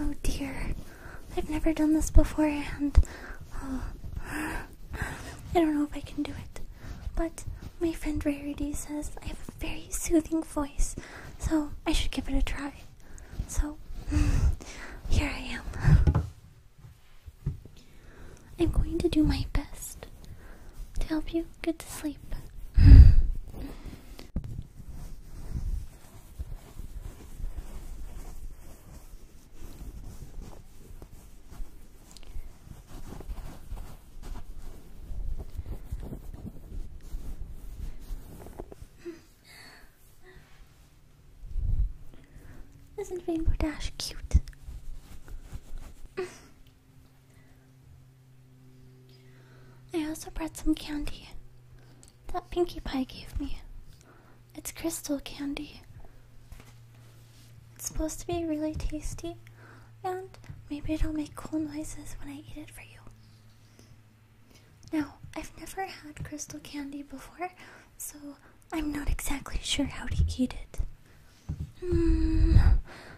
Oh dear, I've never done this before, and oh, I don't know if I can do it. But my friend Rarity says I have a very soothing voice, so I should give it a try. So here I am. I'm going to do my best to help you get to sleep. Isn't Rainbow Dash cute? I also brought some candy that Pinkie Pie gave me. It's crystal candy. It's supposed to be really tasty, and maybe it'll make cool noises when I eat it for you. Now, I've never had crystal candy before, so I'm not exactly sure how to eat it. Hmm,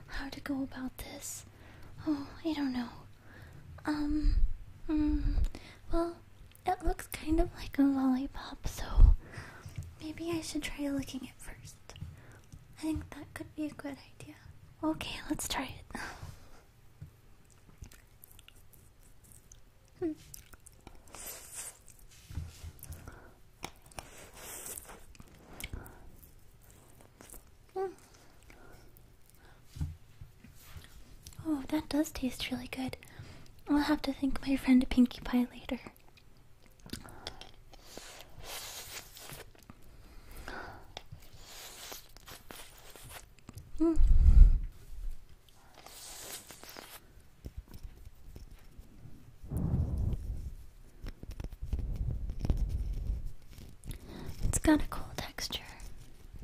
how to go about this? Oh, I don't know. Um, hmm, well, it looks kind of like a lollipop, so maybe I should try licking it first. I think that could be a good idea. Okay, let's try it. Hmm. Hmm. Oh, that does taste really good. I'll have to thank my friend Pinkie Pie later. Hmm. It's got a cool texture.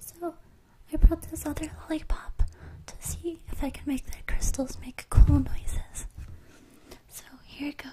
So, I brought this other lollipop to see if I can make the crystals make cool noises. So, here it goes.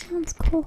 sounds cool.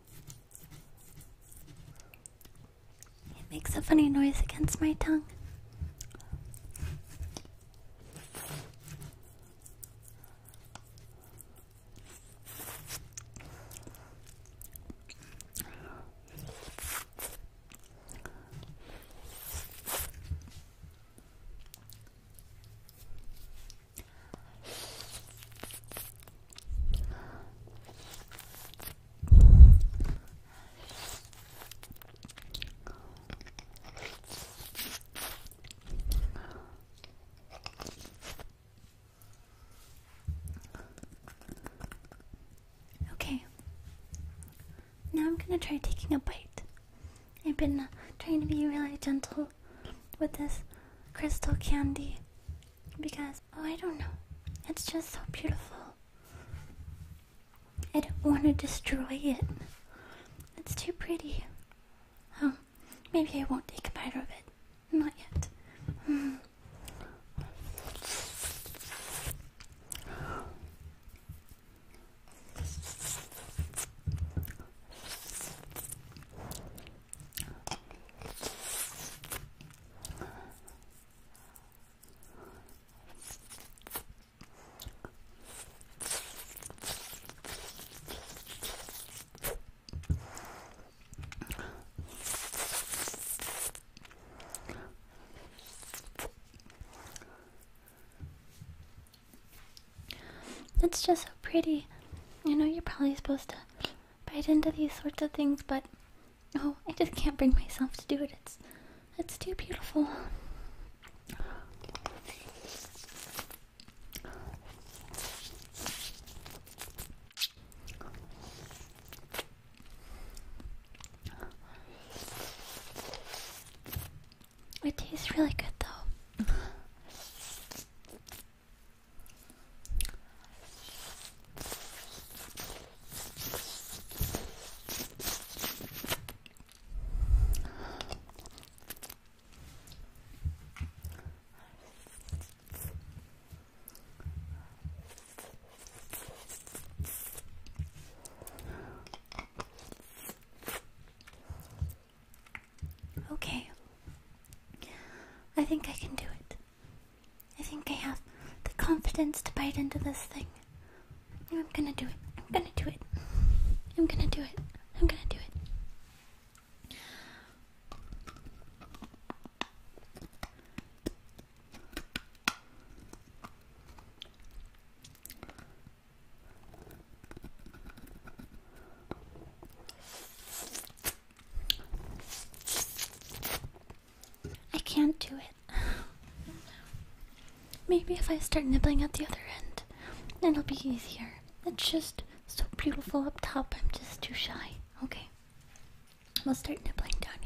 It makes a funny noise against my tongue. Okay. Now I'm going to try taking a bite. I've been uh, trying to be really gentle with this crystal candy because oh I don't know. It's just so beautiful. I don't want to destroy it. It's too pretty. Oh, maybe I won't take a bite of it. Not yet. Hmm. That's just so pretty. You know, you're probably supposed to bite into these sorts of things, but oh, I just can't bring myself to do it. It's it's too beautiful. It tastes really good though. Okay. I think I can do it. I think I have the confidence to bite into this thing. I'm gonna do it. I'm gonna do it. I'm gonna do it. I'm gonna do it. I can't do it. Maybe if I start nibbling at the other end, it'll be easier. It's just so beautiful up top, I'm just too shy. Okay. i will start nibbling down here.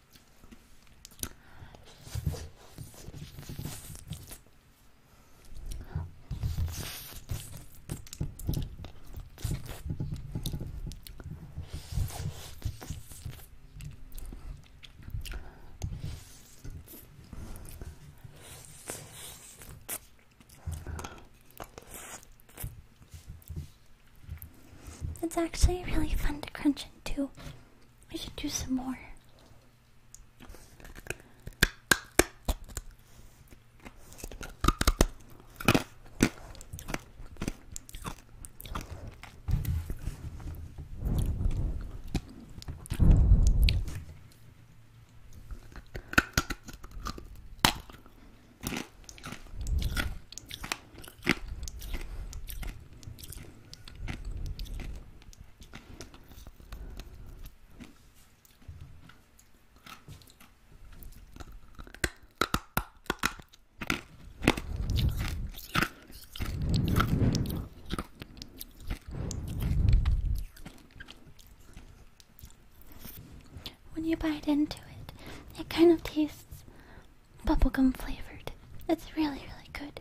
It's actually really fun to crunch into. I should do some more. When you bite into it, it kind of tastes bubblegum flavored. It's really, really good.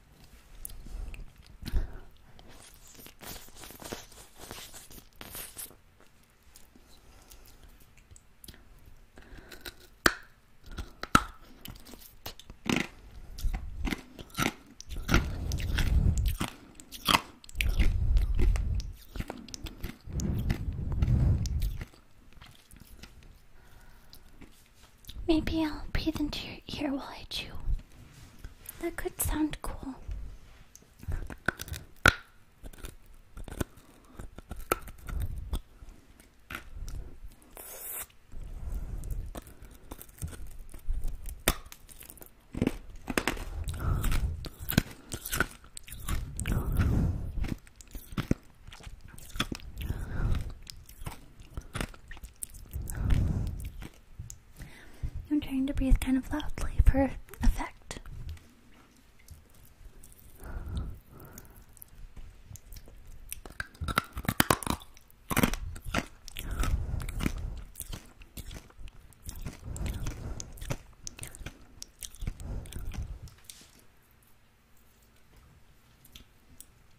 Maybe I'll breathe into your ear while I chew. That could sound cool. I'm trying to breathe kind of loudly for effect.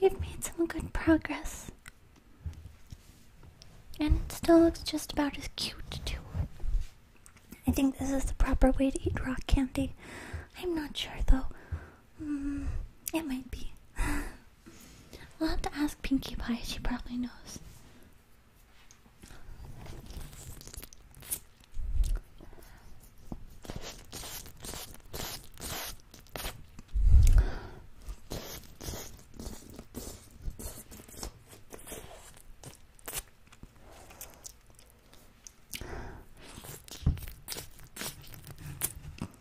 We've made some good progress. And it still looks just about as cute, too. I think this is the proper way to eat rock candy. I'm not sure, though. Mm, it might be. I'll have to ask Pinkie Pie, she probably knows.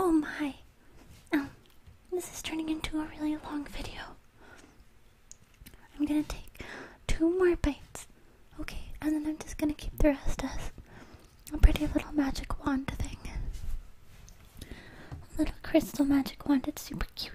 Oh my. Um, this is turning into a really long video. I'm gonna take two more bites, okay? And then I'm just gonna keep the rest as a pretty little magic wand thing. little crystal magic wand, it's super cute.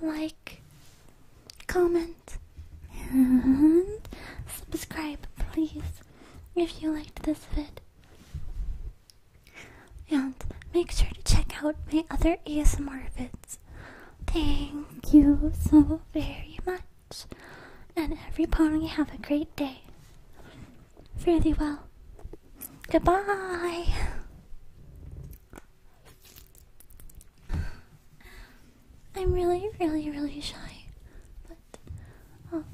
like, comment, and subscribe, please, if you liked this vid. And make sure to check out my other ASMR vids. Thank you so very much. And everybody have a great day. Really well. Goodbye! I'm really, really, really shy. But, oh,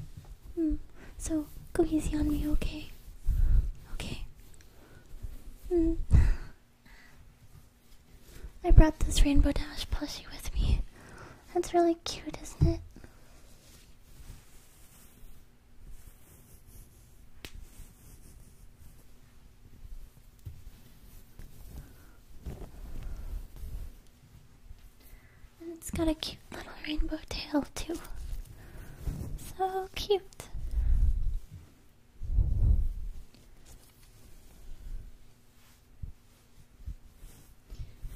hmm, so go easy on me, okay? Okay. Hmm. I brought this Rainbow Dash plushie with me. That's really cute, isn't it? And it's got a cute little rainbow tail, too. So cute.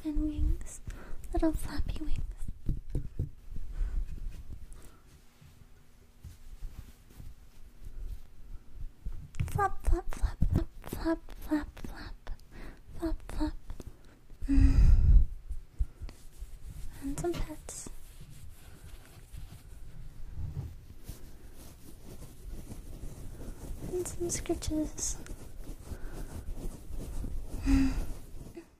And wings, little flappy wings. Flop, flop, flop, flop, flop, flop, flop, flop, flop. And some pets. And some scratches.